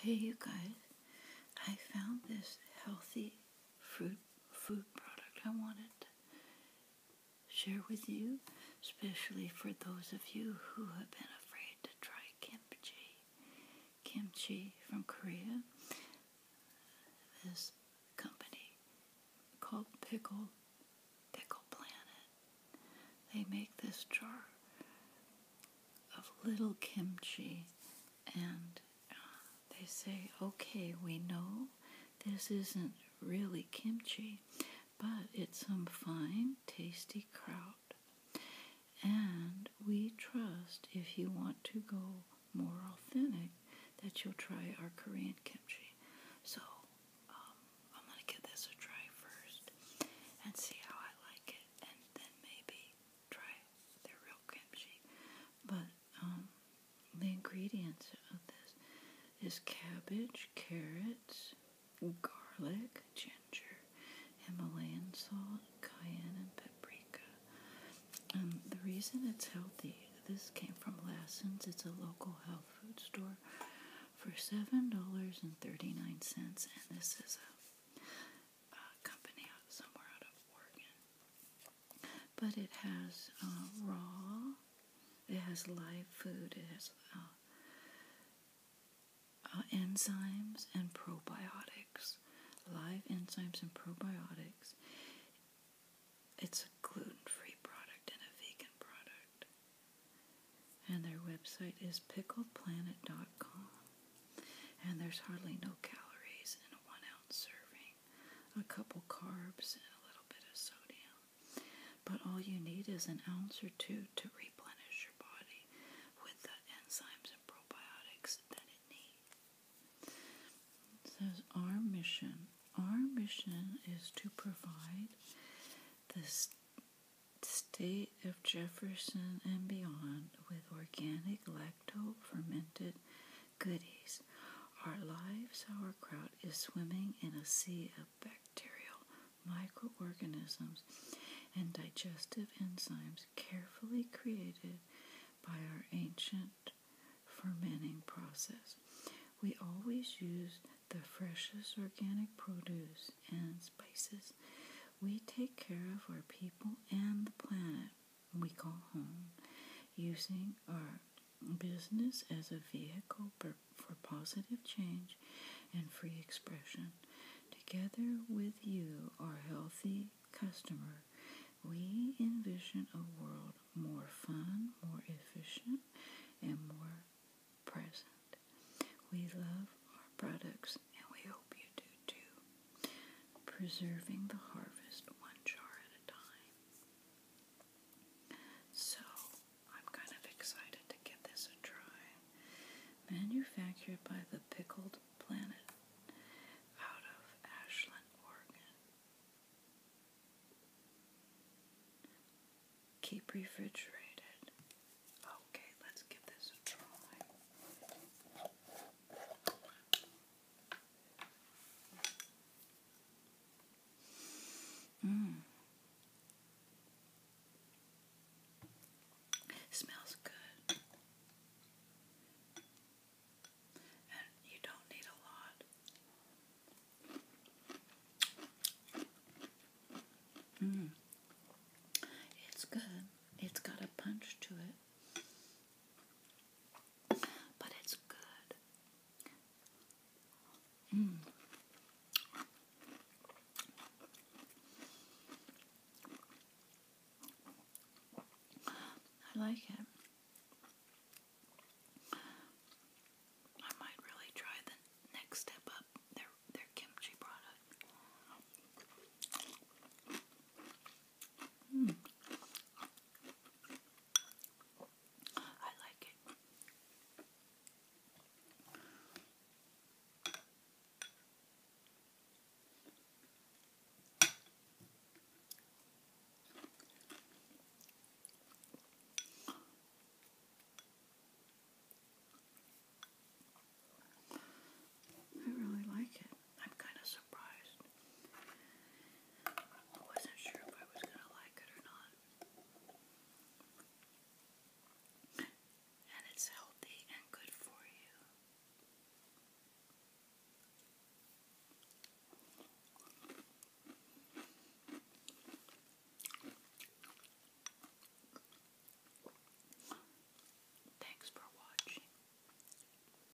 Hey you guys, I found this healthy fruit food product I wanted to share with you, especially for those of you who have been afraid to try kimchi. Kimchi from Korea. This company called Pickle Pickle Planet. They make this jar of little kimchi and uh, they say, okay, we know this isn't really kimchi, but it's some fine, tasty kraut. And we trust if you want to go more authentic that you'll try our Korean kimchi. So um, I'm gonna give this a try first and see how I like it, and then maybe try the real kimchi. But um, the ingredients of this is cabbage, carrots, garlic, ginger, Himalayan salt, cayenne, and paprika. Um, the reason it's healthy. This came from Lassen's. It's a local health food store for seven dollars and thirty nine cents, and this is a, company out somewhere out of Oregon. But it has uh, raw, it has live food, it has uh, uh, enzymes and probiotics, live enzymes and probiotics. It's a gluten-free product and a vegan product. And their website is pickledplanet.com. And there's hardly no calories in a one ounce serving, a couple carbs, and a little bit of sodium. But all you need is an ounce or two to replenish your body with the enzymes and probiotics that it needs says our mission. Our mission is to provide the state of Jefferson and beyond with organic lacto fermented goodies. Our live sauerkraut is swimming in a sea of bacterial microorganisms and digestive enzymes carefully created by our ancient fermenting process. We always use the freshest organic produce and spices. We take care of our people and the planet we call home using our business as a vehicle for positive change and free expression. Together with you, our healthy customer, we envision a world more fun, more efficient, and more present. We love our products and we hope you do too. Preserving the harvest one jar at a time. So, I'm kind of excited to give this a try manufactured by the Pickled Planet out of Ashland, Oregon. Keep refrigerated. Okay, let's give this a try. Mmm. It smells good. you don't need a lot. Mm. It's good. It's got a punch to it. But it's good. Mm. I like it. I might really try the next step up their their kimchi product. Mm. I like it. I really like it. I'm kind of surprised. I wasn't sure if I was gonna like it or not. And it's healthy and good for you. Thanks for watching.